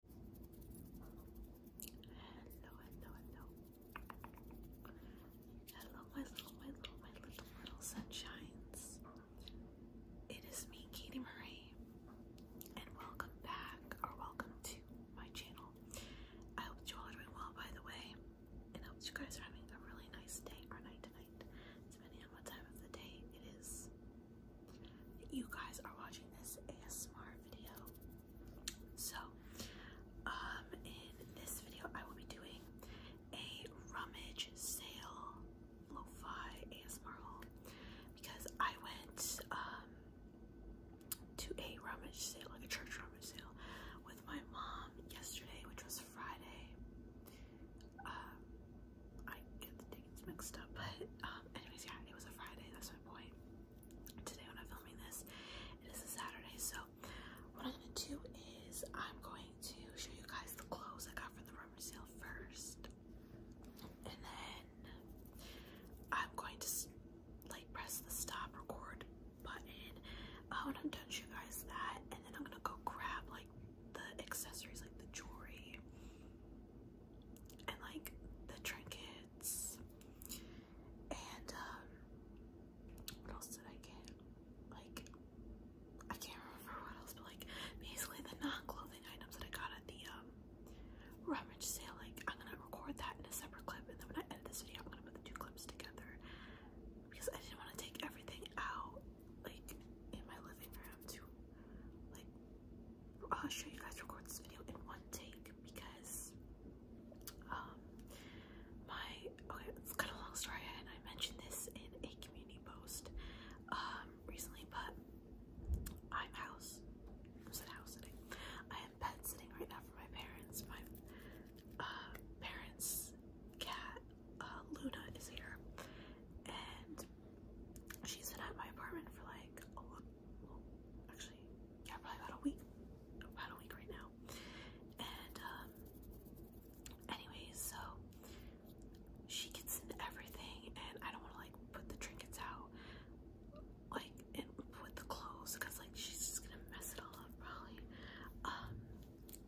Hello, hello, hello. Hello, my little, my little, my little, little sunshines. It is me, Katie Marie, and welcome back, or welcome to my channel. I hope you all are doing well, by the way, and I hope you guys are having a really nice day or night tonight, depending on what time of the day it is you guys are watching this ASMR video. So, um, in this video, I will be doing a rummage sale lo-fi ASMR because I went um to a rummage sale, like a church rummage sale, with my mom yesterday, which was Friday. Um, I get the tickets mixed up, but um, anyways, yeah, it was a Friday. That's my point today when I'm filming this. It is a Saturday, so what I'm gonna do is I'm going to show you guys the clothes I got from the rumor sale first, and then I'm going to like press the stop record button uh, I'm gonna show you guys that, and then I'm gonna go grab like the accessories, like the jewelry, and like the trinkets and um what else did I get? Like I can't remember what else, but like basically the non-clothing items that I got at the um rummage sale. Like I'm gonna record that in a separate clip, and then when I edit this video, I'm gonna put the two clips together because I didn't want to take everything out like in my living room to like I'll show you guys record this video in one take because um, my okay it's kind of long story and I mentioned this in a community post um, recently but I'm house I said house sitting I am pet sitting right now for my parents my uh, parents cat uh, Luna is here and she's been at my apartment for like a actually, yeah, probably about a week, about a week right now. And um, anyways, so she gets into everything, and I don't want to like put the trinkets out, like and put the clothes, cause like she's just gonna mess it all up probably. Um,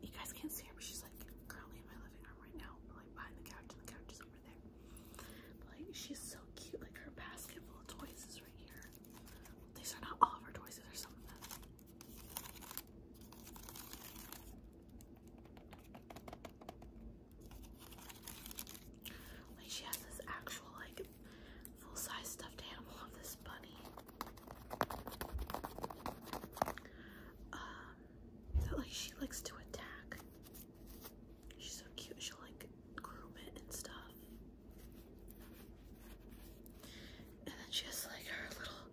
you guys can't see her, but she's like currently in my living room right now, like behind the couch, and the couch is like she's so cute. Like her basket full of toys is right here. These are not all of her toys, There's some of them. Like she has this actual like full-size stuffed animal of this bunny. Um like she likes to attack. She's so cute. She'll like groom it and stuff. And then she has like her little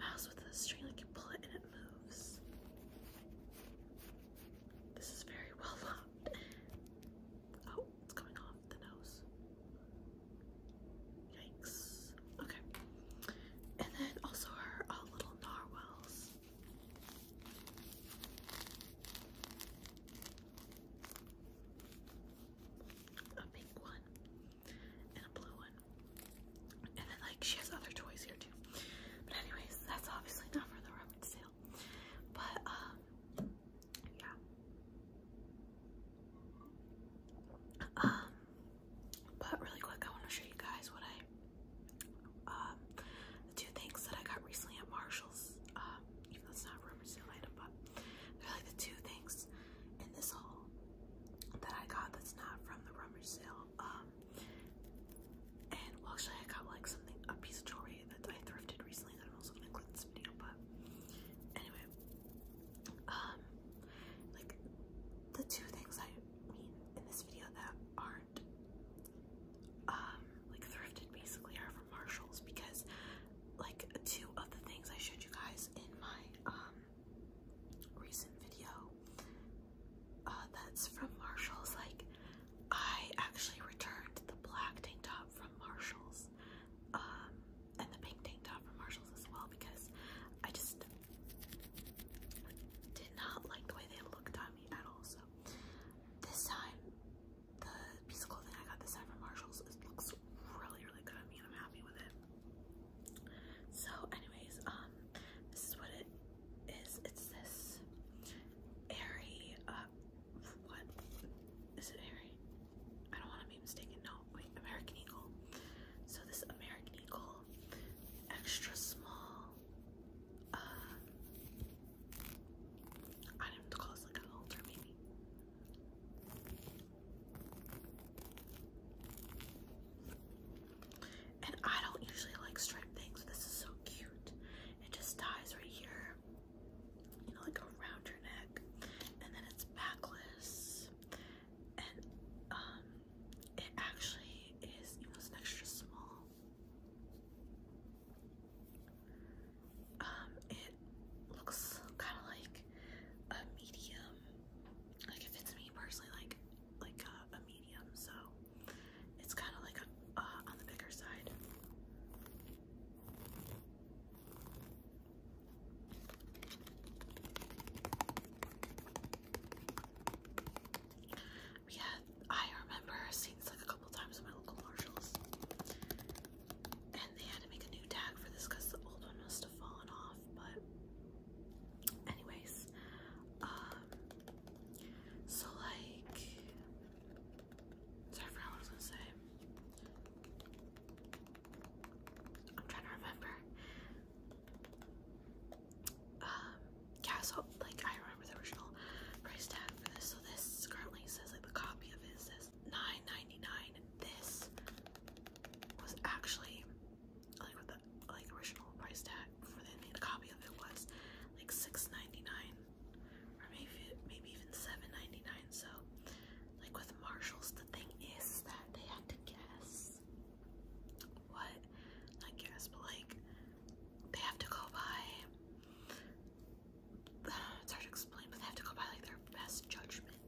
mouse with a string. Like you pull it and it moves. This is very well loved. Oh, it's coming off the nose. Yikes. Okay. And then also her uh, little narwhals. A pink one and a blue one. And then like she has other toys here too. But anyways, that's obviously not for the rummage sale. But um yeah. Um but really quick I want to show you guys what I um the two things that I got recently at Marshall's, um, even not a sale item, but they're like the two things in this haul that I got that's not from the rumored sale. Um, and actually, I got like something, a piece of jewelry that I thrifted recently that I'm also gonna include this video, but anyway, um, like the two things I mean in this video that aren't um, like thrifted basically are from Marshalls because like two of the things I showed you guys in my um, recent video uh, that's from Marshalls like I actually returned the black tank top from Marshalls um, and the pink tank top from Marshalls as well because I just did not like the way they looked on me at all so this time the piece of clothing I got this time from Marshalls. It looks really, really good on me and I'm happy with it. So anyways, um, this is what it is. It's this airy, uh, what? Is it airy? I don't want to be mistaken. No, wait, American Eagle. So this American Eagle extra small, um, I don't have to like an altar, maybe. And I don't usually like striped things. This is so cute. It just ties right here, you know, like around your neck, and then it's backless. And um, it actually is, you extra small. Um, it looks kind of like a medium. Like it fits me personally, like like a, medium. So it's kind of like a, uh, on the bigger side. We I remember seeing like a couple times in my local Marshalls. And they had to make a new tag for this because the old one must have fallen off. But, anyways, um, so like, sorry, I forgot I was gonna say. I'm trying to remember. Um, yeah, like I remember the original price tag for this. So this currently says like the copy of it says $9.99 this was actually like with the like original price tag for the, copy of it was like $6.99 or maybe maybe even $7.99 so like with Marshalls the thing is that they had to guess what not guess but like they have to go by it's hard to explain, but they have to go by like their best judgment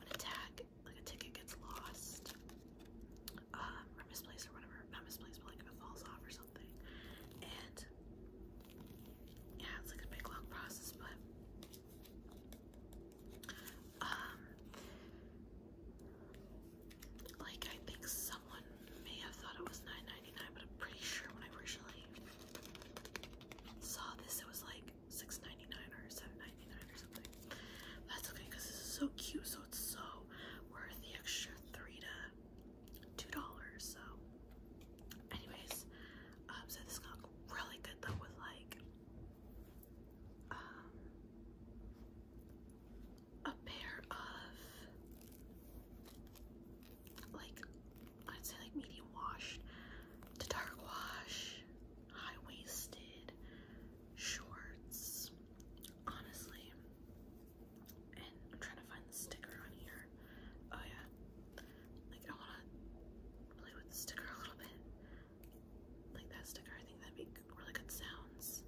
when a tag, like a ticket, gets lost um, or misplaced or whatever. Not misplaced, but like if it falls off or something. And yeah, it's like a big long process, but um, like I think someone may have thought it was nine ninety nine, but I'm pretty sure when I originally saw this, it was like 6 or 7 or something. That's okay because this is so cute, so it's so worth the extra three to $2. So, anyways, um, so this is gonna look really good though with like um, a pair of like I'd say like medium wash to dark wash, high waisted shorts. Honestly, and I'm trying to find the sticker on here. Oh yeah, like I want to play with the sticker a little bit. Like that sticker, I think that'd be really good sounds.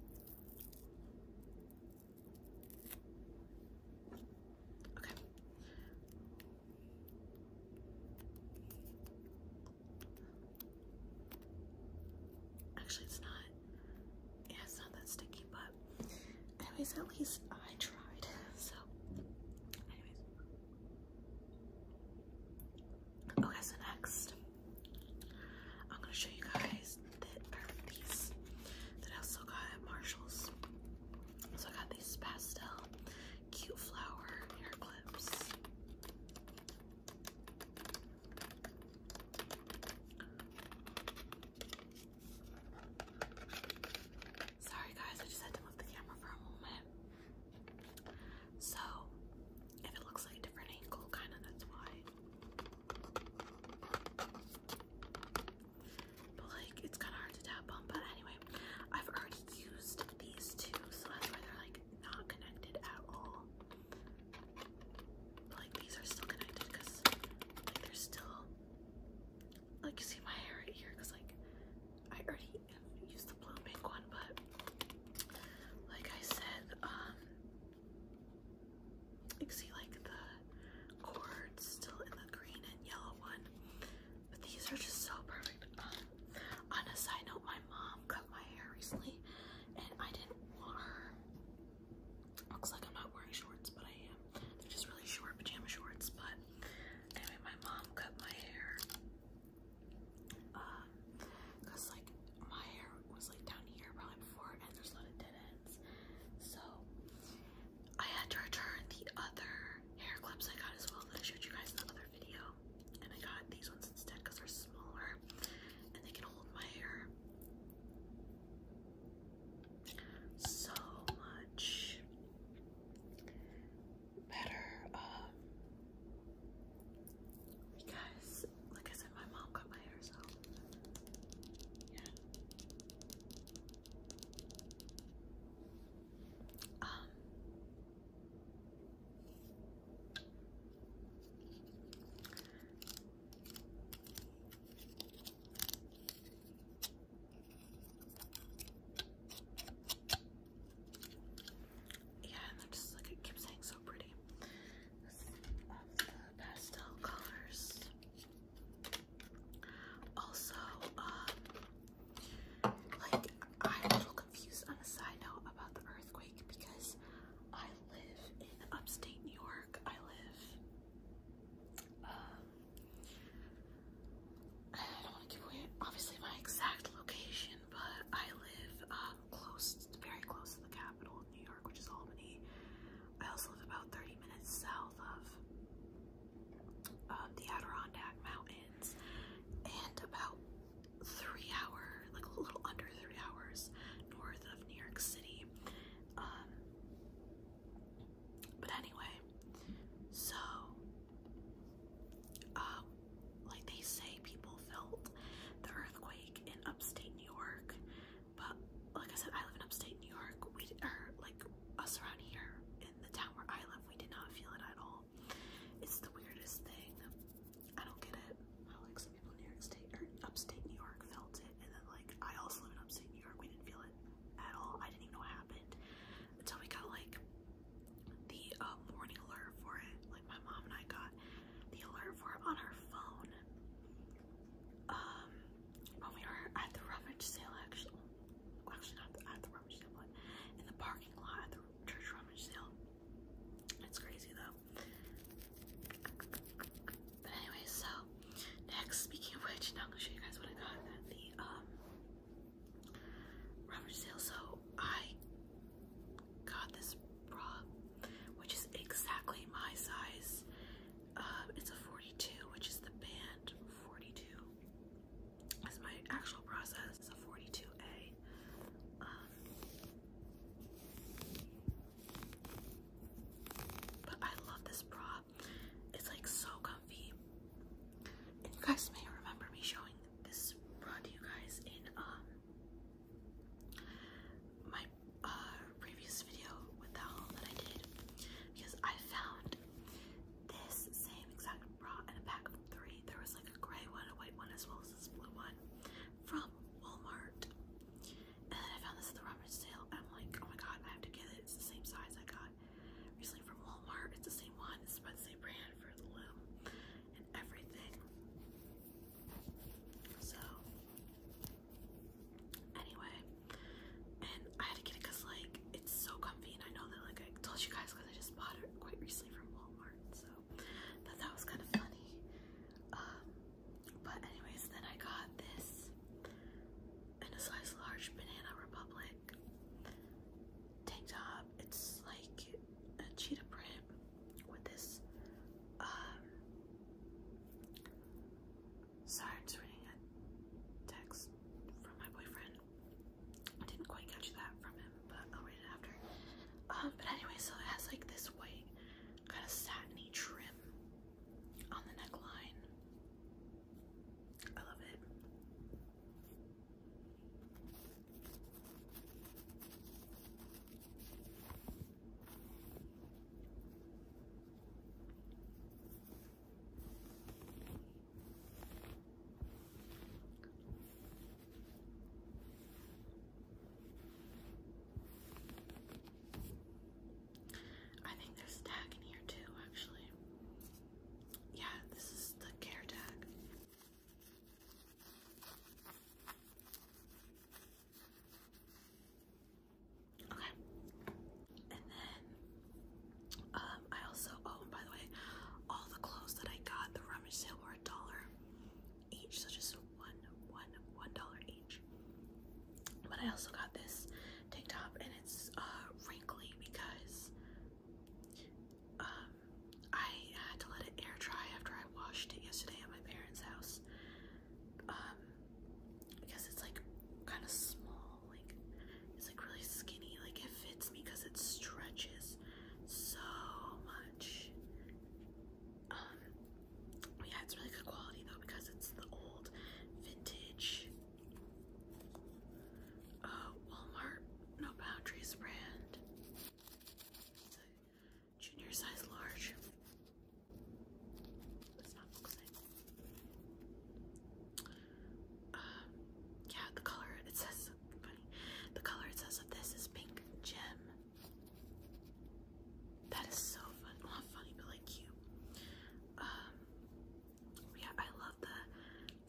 Okay. Actually, it's not. Yeah, it's not that sticky, but anyways, at least I tried. So, anyways. Okay, so next, I'm gonna show you guys that are these that I also got at Marshalls. So I got these pastel cute flower hair clips. Sorry guys, I just had to move the camera for a moment. So if it looks like a different angle, kinda that's why. But like it's kind of hard to tap on. But anyway, I've already used these two, so that's why they're like not connected at all. But like these are still connected because like they're still like you see my hair right here because like I already used the blue pink one, but like I said, um you see like the cords still in the green and yellow one. But these are just so perfect. Um, on a side note, my mom cut my hair recently and I didn't want her. Looks like I'm not wearing shorts, but I am. They're just really short pajama shorts. But anyway, my mom cut my hair. Uh, cause like my hair was like down here probably before, and there's a lot of so I had to return the other hair clips I got as well that I showed you guys in another video. And I got these ones instead because they're smaller and they can hold my hair so much better. Um, because, like I said, my mom cut my hair, so yeah. Um, yeah, and that just like it keeps saying so pretty. pastel colors. Also, um, like I'm a little confused on a side note about the earthquake because I live in upstate New York. I live, um, I don't want to give away obviously my exact location, but I live um, close, very close to the capital of New York, which is Albany. I also live about 30 minutes south of the Adirondack Mountains and about three hours, like a little under three hours north of New York City. Um, but anyway, so uh, like they say, people felt the earthquake in upstate New York, but like I said, I live in upstate New York. We are er, like us around here in the town where I live, we did not feel it at all. It's the weirdest thing. I don't get it. How like some people in New York State or upstate New York felt it, and then like I also live in upstate New York. We didn't feel it at all. I didn't even know what happened until we got like the uh, warning alert for it. Like my mom and I got the alert for it on her phone. Um, when oh, we were at the rummage sale, actually, actually not at the rummage sale, but in the parking lot at the church rummage sale. It's crazy though. But anyway, so next, speaking of which, now I'm gonna show you guys what I got at the um rummage sale. So I got this bra, which is exactly my size. Um, it's a 42, which is the band 42 is my actual process. It's a 42A. Um, but I love this bra. It's like so comfy. you guys may remember me showing this bra to you guys in um my uh previous video with that I did because I found this same exact bra in a pack of three. There was like a gray one, a white one, as well as this blue one from Walmart. And then I found this at the rummage sale. I'm like, oh my god, I have to get it. It's the same size I got recently from Walmart. It's the same one. It's by the same brand for the loom and everything. So, anyway, and I had to get it because like it's so comfy, and I know that like I told you guys because I just bought it quite recently from Walmart, so thought that was kind of funny. Um, but anyways, then I got this in a size large Banana Republic tank top. It's like a cheetah print with this um, Sorry, I'm just reading a text from my boyfriend. I didn't quite catch that from him, but I'll read it after. Um, but anyway, so it has like this white kind of satiny trim on the neckline. I love it. I think there's tag in here too, actually. Yeah, this is the care tag. Okay. And then um, I also oh and by the way, all the clothes that I got the rummage sale were a dollar each, so just one one one dollar each. But I also got this tank top and it's uh wrinkly because um I had to let it air dry after I washed it yesterday at my parents' house. Um because it's like kind of small like it's like really skinny. Like it fits me because it stretches so much. Um, yeah, it's really good quality though because it's the old vintage uh, Walmart No Boundaries brand. junior size large. Uh, yeah, the color it says The color it says of this is pink gem. That is so fun. not funny, but like cute. Um, yeah, I love the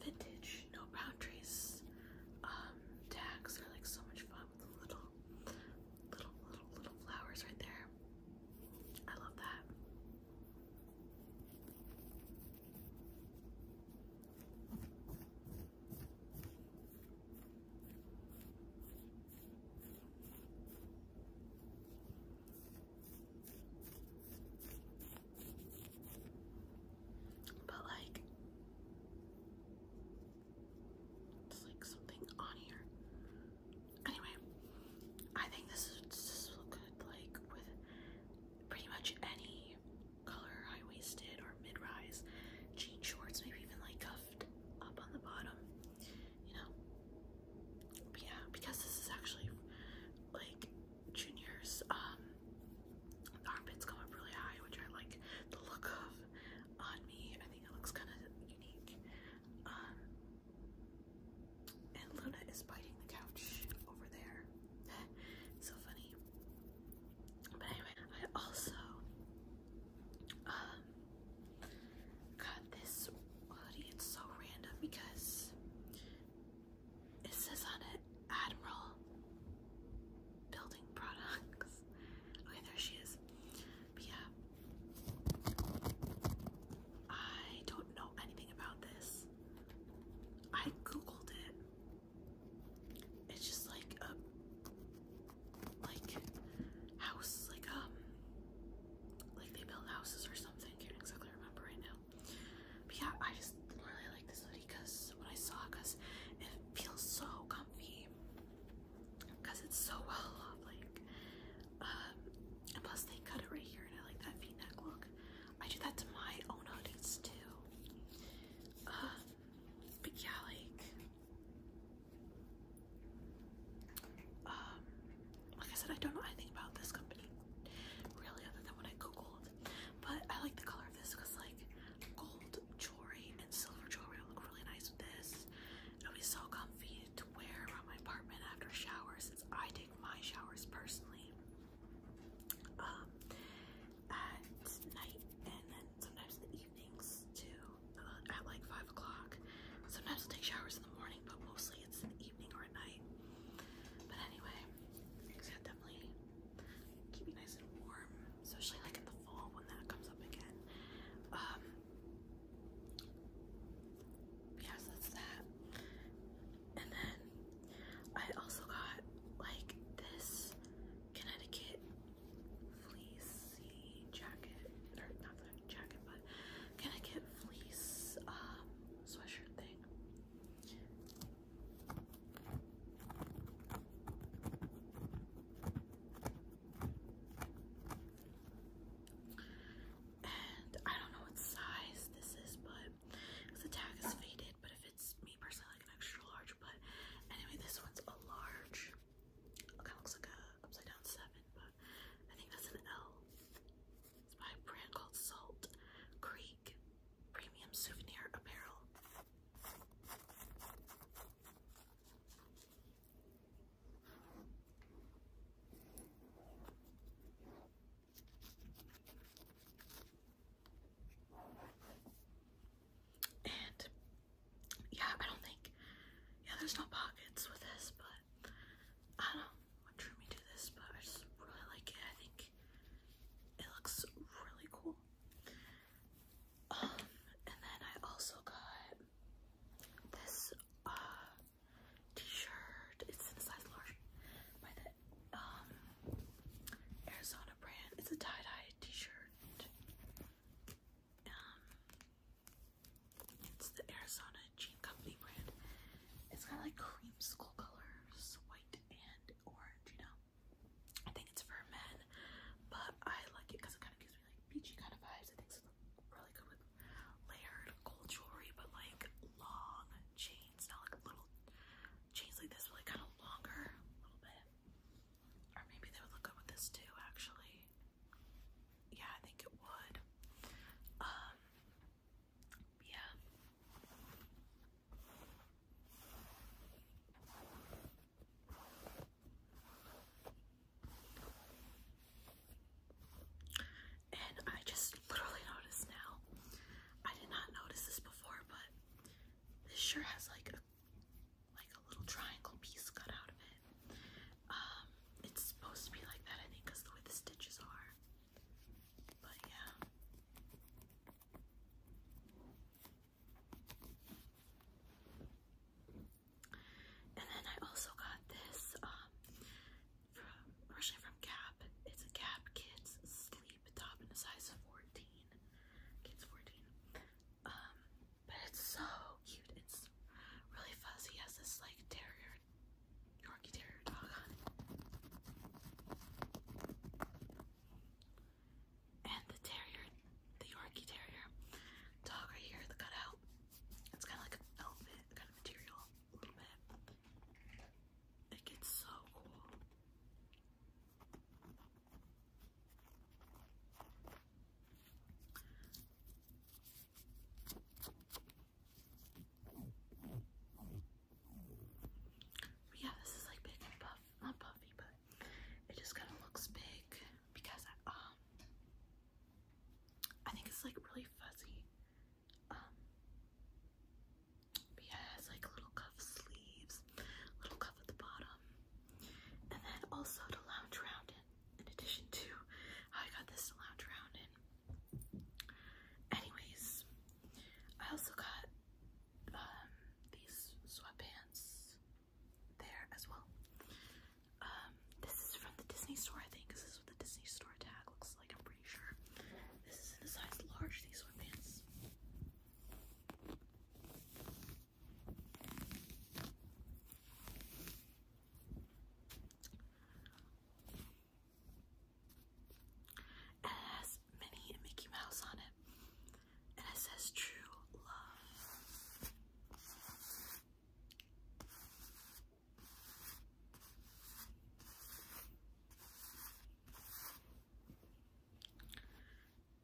vintage no boundaries um, tags. They're like so much fun with the little, little, little, little flowers right there. I love that. But like it's like something on here. Anyway, I think this is this will good like with pretty much any color high-waisted or mid-rise jean shorts, maybe even like cuffed up on the bottom, you know. yeah, because this is actually like juniors, um, the armpits come up really high, which I like the look of on me. I think it looks kind of unique. Um, and Luna is biting the couch over there. so funny. But anyway, I also um, got this hoodie. It's so random because it says on it Admiral Building Products. Okay, there she is. But yeah. I don't know anything about this. I googled it. It's just like a uh, like house, like um, like they build houses or something. Can't exactly remember right now. But yeah, I just really like this hoodie because when I saw, because it feels so comfy, because it's so well off, like um, and plus they cut it right here and I like that v-neck look. I do that to my own hoodies too. but yeah, like, um, like I said, I don't know anything about this company really other than what I googled. But I like the color of this because like gold jewelry and silver jewelry will look really nice with this. It'll be so comfy to wear around my apartment after showers since I take my showers personally um, at night and then sometimes in the evenings too, uh, at like 5 o'clock. Sometimes I'll take showers in the morning, but mostly it's in the evening or at night. But anyway, definitely keep you nice and warm, especially like in the fall when that comes up again. Um, yes, that's that. And then I also got like this Connecticut fleece jacket, or not the jacket, but Connecticut fleece um, sweatshirt thing. And I don't know what size this is, but because the tag is faded, but if it's me personally, I like an extra large. But anyway, this one's a large. kind of looks like a upside down seven, but I think that's an L. It's by a brand called Salt Creek Premium Souvenir Apparel. And yeah, I don't think yeah, there's no pockets with this, but I don't know what to this, but I just really like it. I think it looks really cool. Um, and then I also got this uh, t-shirt. It's in a size large by the um Arizona brand. It's a tie-dye t-shirt. Um it's the Arizona Jean Company brand. It's got like cream school colors, white and orange, you know. I think it's for men, but I like it because it kind of gives me like peachy kind of vibes. I think it's really good with layered gold jewelry, but like long chain chains, not like little chains like this, but like kind of longer, a little bit. Or maybe they would look good with this too, actually. Yeah, I think it would. Um, yeah and I just literally noticed now. I did not notice this before, but this shirt has like a like a little triangle piece cut out of it. Um, it's supposed to be like that, I think, because the way the stitches are. But yeah. And then I also got this um, from originally from Gap. It's a Cap Kids sleep top in a size 14. Kids 14. Um, but it's so cute. It's really fuzzy. has this like terrier, Yorkie terrier dog And the terrier, the Yorkie terrier dog right here, the cutout. It's kind of like an elephant kind of material a little bit. It gets so cool. yeah, this is like big and puff, not puffy, but it just kind of looks big because um, I think it's like really fuzzy. Um, yeah, it like little cuff sleeves, little cuff at the bottom. And then also to lounge around in, in addition to I got this to lounge around in. Anyways, I also got um, these sweatpants there as well. Um, this is from the Disney store, I think, this is what the Disney store tag looks like sure. This is in a size large, these sweatpants. pants. it has Minnie Mickey Mouse on it. And it says true love.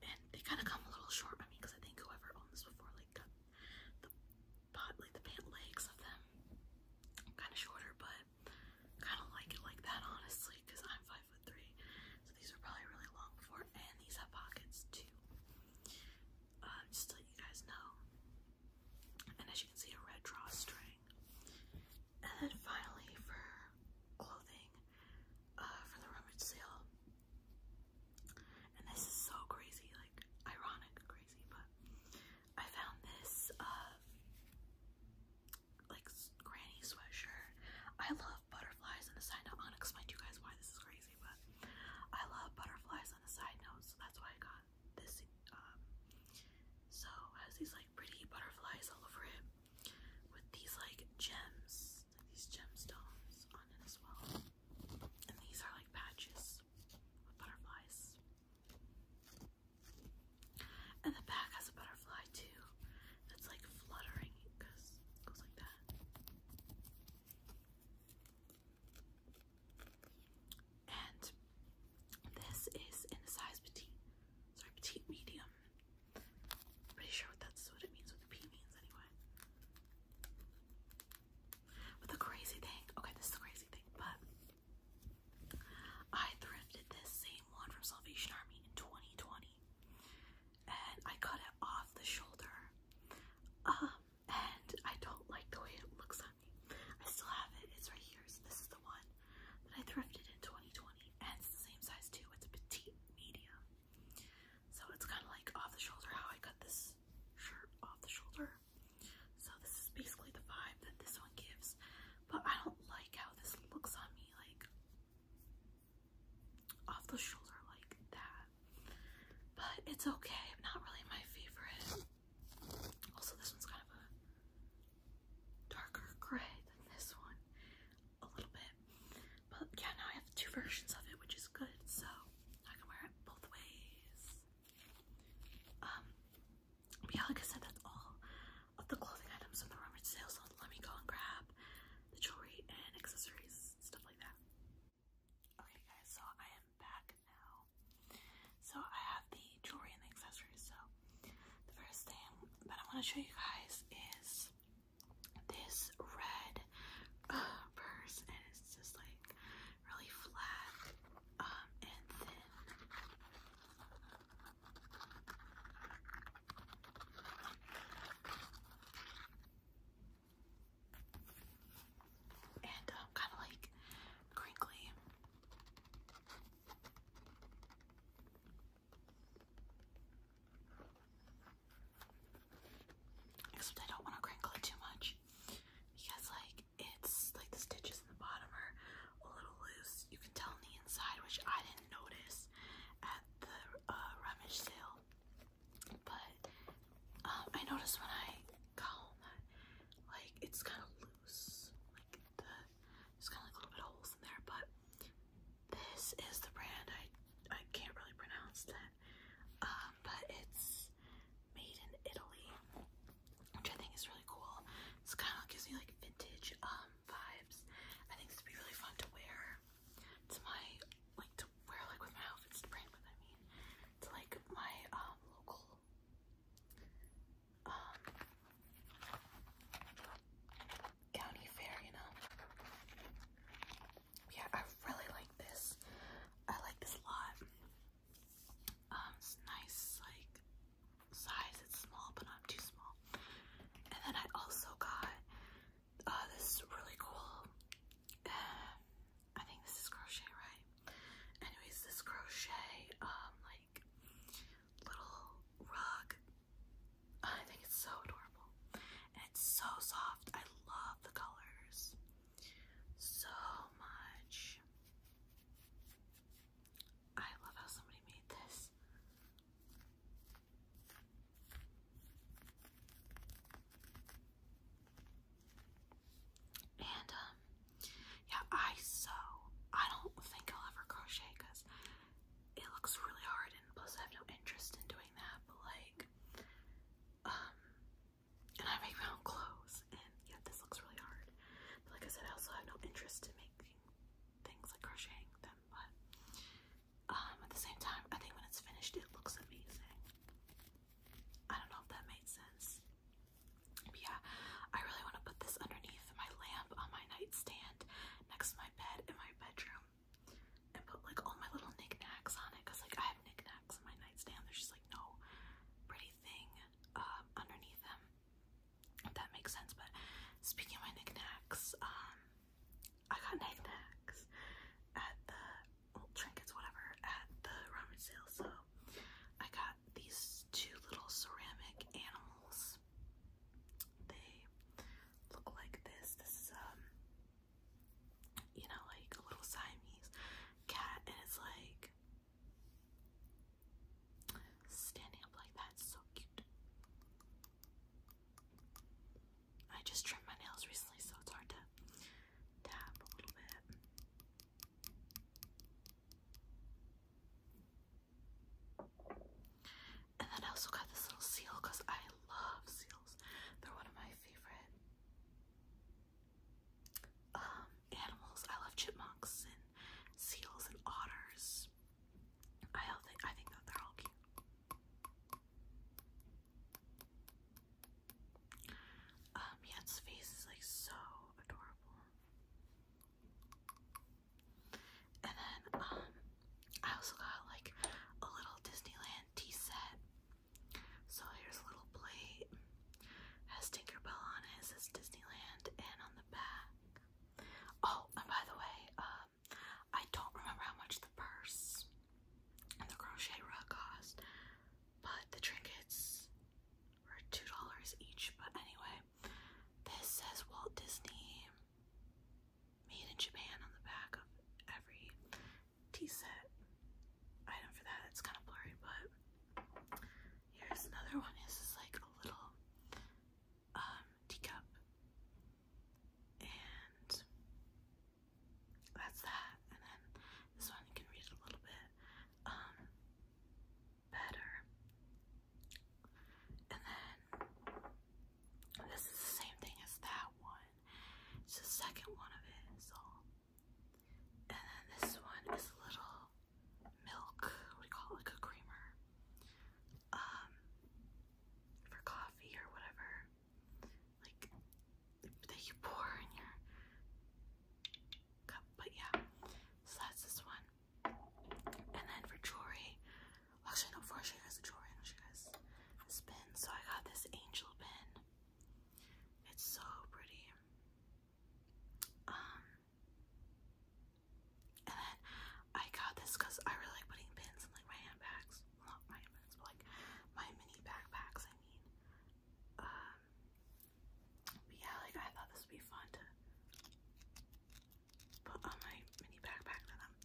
And they kind of come a little short on me because I think whoever owned this before like cut the pot, like the pant legs of them kind of shorter, but kind of like like that honestly because I'm five foot three, so these are probably really long for and these have pockets too. Uh, just to you guys know. And as you can see, a red drawstring thing. And then finally for clothing uh, for the rummage sale. And this is so crazy, like ironic crazy, but I found this uh, like granny sweatshirt. I love butterflies and a side note. I'll explain to you guys why this is crazy, but I love butterflies on a side note, so that's why I got this um, so it has these like pretty butterflies all over it with these like gems, like these gemstones on it as well. And these are like patches with butterflies. And the back has a butterfly too that's like fluttering goes like that. And this is in a size petite, sorry, petite medium. pretty sure that's what it means, what the P means anyway. But the crazy thing, okay, this is the crazy thing, but I thrifted this same one from Salvation Army in 2020 and I cut it off the shoulder. Um, and I don't like the way it looks on me. I still have it, it's right here. So, this is the one that I thrifted in 2020, and it's the same size too. It's a petite medium, so it's kind of like off the shoulder. How I cut this shirt off the shoulder. So this is basically the vibe that this one gives, but I don't like how this looks on me, like off the shoulder like that. But it's okay. I'm not really my favorite. Also, this one's kind of a darker gray than this one a little bit. But yeah, now I have two versions of it, which is good. So I can wear it both ways. Um, but said, that's all of the clothing items in the rummage sale. let me go and grab the jewelry and accessories, stuff like that. Okay, guys, so I am back now. So I have the jewelry and the accessories. So the first thing that I want to show you guys is this red uh, purse, and it's just like really flat um, and thin. And um, kind of like crinkly. Except I don't want to crinkle it too much because like it's like the stitches in the bottom are a little loose. You can tell on the inside, which I didn't notice at the uh, rummage sale. But um, I noticed when I got home that like it's kind of loose. It's kind of like a little bit of holes in there, but this is the brand I I can't really pronounce that. Um, but it's made in Italy, which I think is really cool. It's kind of gives me like vintage um vibes. I think this would be really fun to wear to my like to wear like with my outfits to brand with I mean it's like my um local um, county fair, you know. Yeah, I really like this. I like this a lot. Um, nice, like size. It's small, but not too small. And then I also got uh, this really cool. Uh, I think this is crochet, right? Anyways, this crochet um like little rug. I think it's so adorable. And it's so soft. I love the colors so much. I love how somebody made this. And um, yeah, I sew. I don't think I'll ever crochet because it looks really hard and plus I have no interest in doing that but like um and I make my own clothes and yeah this looks really hard like I said I also have no interest in making things like crocheting them but um at the same time I think when it's finished it looks amazing I don't know if that made sense but yeah I really want to put this underneath my lamp on my nightstand next to my bed in my bedroom and put like all my little knickknacks on it because like I have knickknacks on my nightstand. There's just like no pretty thing um, underneath them. If that makes sense. But speaking of my knickknacks, um, I got knickknacks at the trinkets, whatever, at the ramen sale. So I got these two little ceramic animals. They look like this. This um you know like a little Siamese cat and like standing up like that. so cute. I just trimmed my nails recently so it's hard to tap a little bit. And then I also got this little seal because I love seals. They're one of my favorite um, animals. I love chipmunks and seals and otters. I think I think that they're all cute. Um, yeah, face is like so adorable. And then um I also got like a little Disneyland tea set. So here's a little plate. Has Tinker Bell on it. It says Disneyland and on the back. Oh, and by the way, um I don't remember how much the purse and the crochet rug cost, but the trinkets were two dollars each. But anyway, this says Walt Disney Made in Japan on the back of every tea set item for that. It's kind of blurry, but here's another one. This is like a little um, teacup, and that's that. And then this one can read a little bit um, better. And then this is the same thing as that one. It's the second one of it, so. And then this one is little milk, what call like a creamer. Um for coffee or whatever. Like that you pour in your cup, but yeah. So that's this one. And then for jewelry, actually, no, before I show you guys the jewelry, I'll show pin. So I got this angel pin. It's so pretty. Um, and then I got this because I really like putting pins in like my handbags. not my handbags, but like my mini backpacks. I mean, um, yeah, like I thought this would be fun to put on my mini backpack that I'm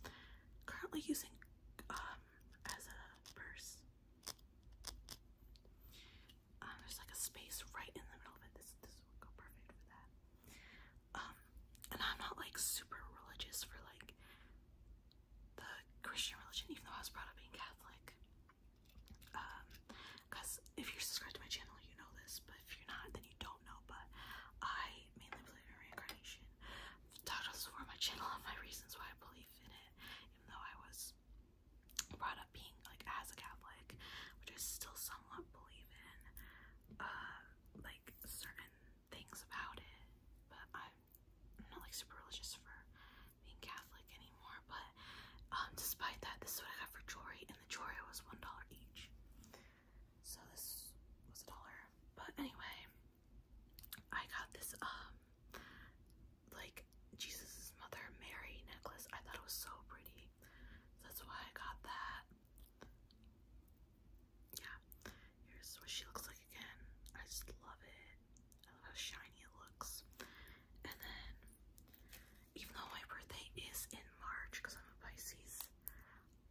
currently using um, as a purse. Um, there's like a space right in the middle of it. This this would go perfect for that. Um, and I'm not like super religious for like the Christian religion, even though I was brought up being Catholic. Um, because if you're subscribed to my channel, you know this, but if you're not, then you don't know. But I mainly believe reincarnation. i talked about this my channel and my reasons why I believe in it, even though I was brought up being like as a Catholic, which I still somewhat believe in, uh, like certain things about it. But I'm not like super religious for being Catholic anymore. But um, despite that, this is what I got for jewelry, and the jewelry was one dollar each. So this was a dollar. But anyway, I got this um like Jesus' mother Mary necklace. I thought it was so pretty. that's why I got that. Yeah. Here's what she looks like again. I just love it. I love how shiny it looks. And then even though my birthday is in March because I'm a Pisces,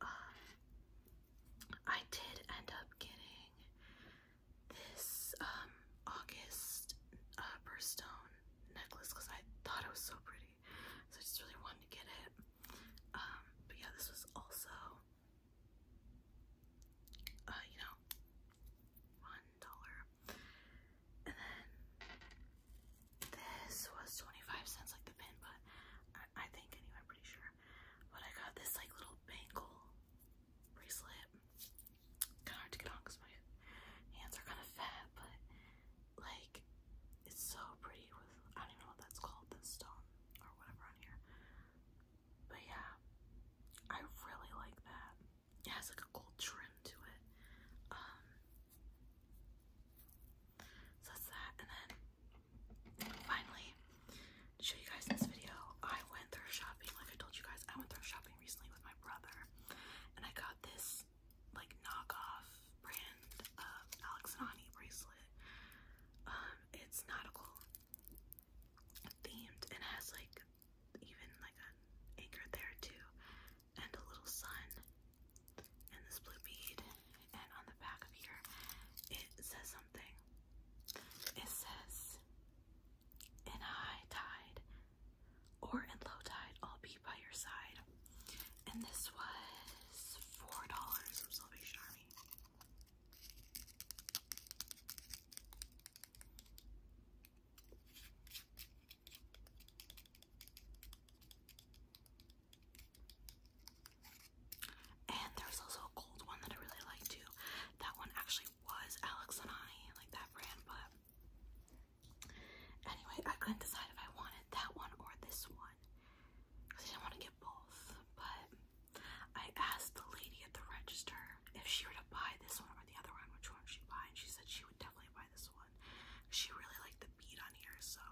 I did end up getting this um, August uh, necklace because I thought it was so pretty, so I just really wanted to get it. Um, but yeah, this was also, uh, you know, one dollar. And then this was 25 cents, like the pin, but I, think anyway, I'm pretty sure. But I got this like little bangle bracelet. Kind of hard to get on because my hands are kind of fat, but like it's so pretty with I don't even know what that's called, the stone or whatever on here. But yeah, I really like that. It has like a gold trim to it. Um, so that's that. And then finally, show you guys in this video, I went through shopping. Like I told you guys, I went through shopping recently with my brother. And I got this like knockoff brand of Alex and Ani bracelet. Um, it's nautical themed and has like even like an anchor there too and a little sun and this blue bead, and on the back of here, it says something. It says, In high tide or in low tide, I'll be by your side. And this was $4 from Salvation Army. And there's also a gold one that I really like too. That one actually was Alex and I, like that brand, but anyway, I couldn't decide if I wanted that one or this one. Because I didn't want to get both. But I asked the lady at the register if she were to buy this one or the other one, which one she'd buy, and she said she would definitely buy this one. She really liked the bead on here, so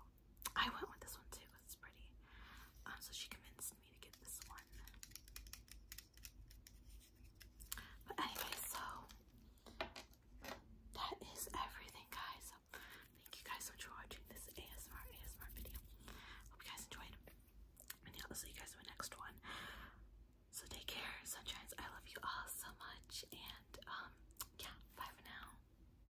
I went with this one too because it's pretty. Um, so she convinced me to get this one. But anyway, so that is everything, guys. thank you guys so much for watching this ASMR ASMR video. Hope you guys enjoyed. And yeah, I'll see you guys in my next one. So take care, sunshines. I love you all so much. And um, yeah, bye for now.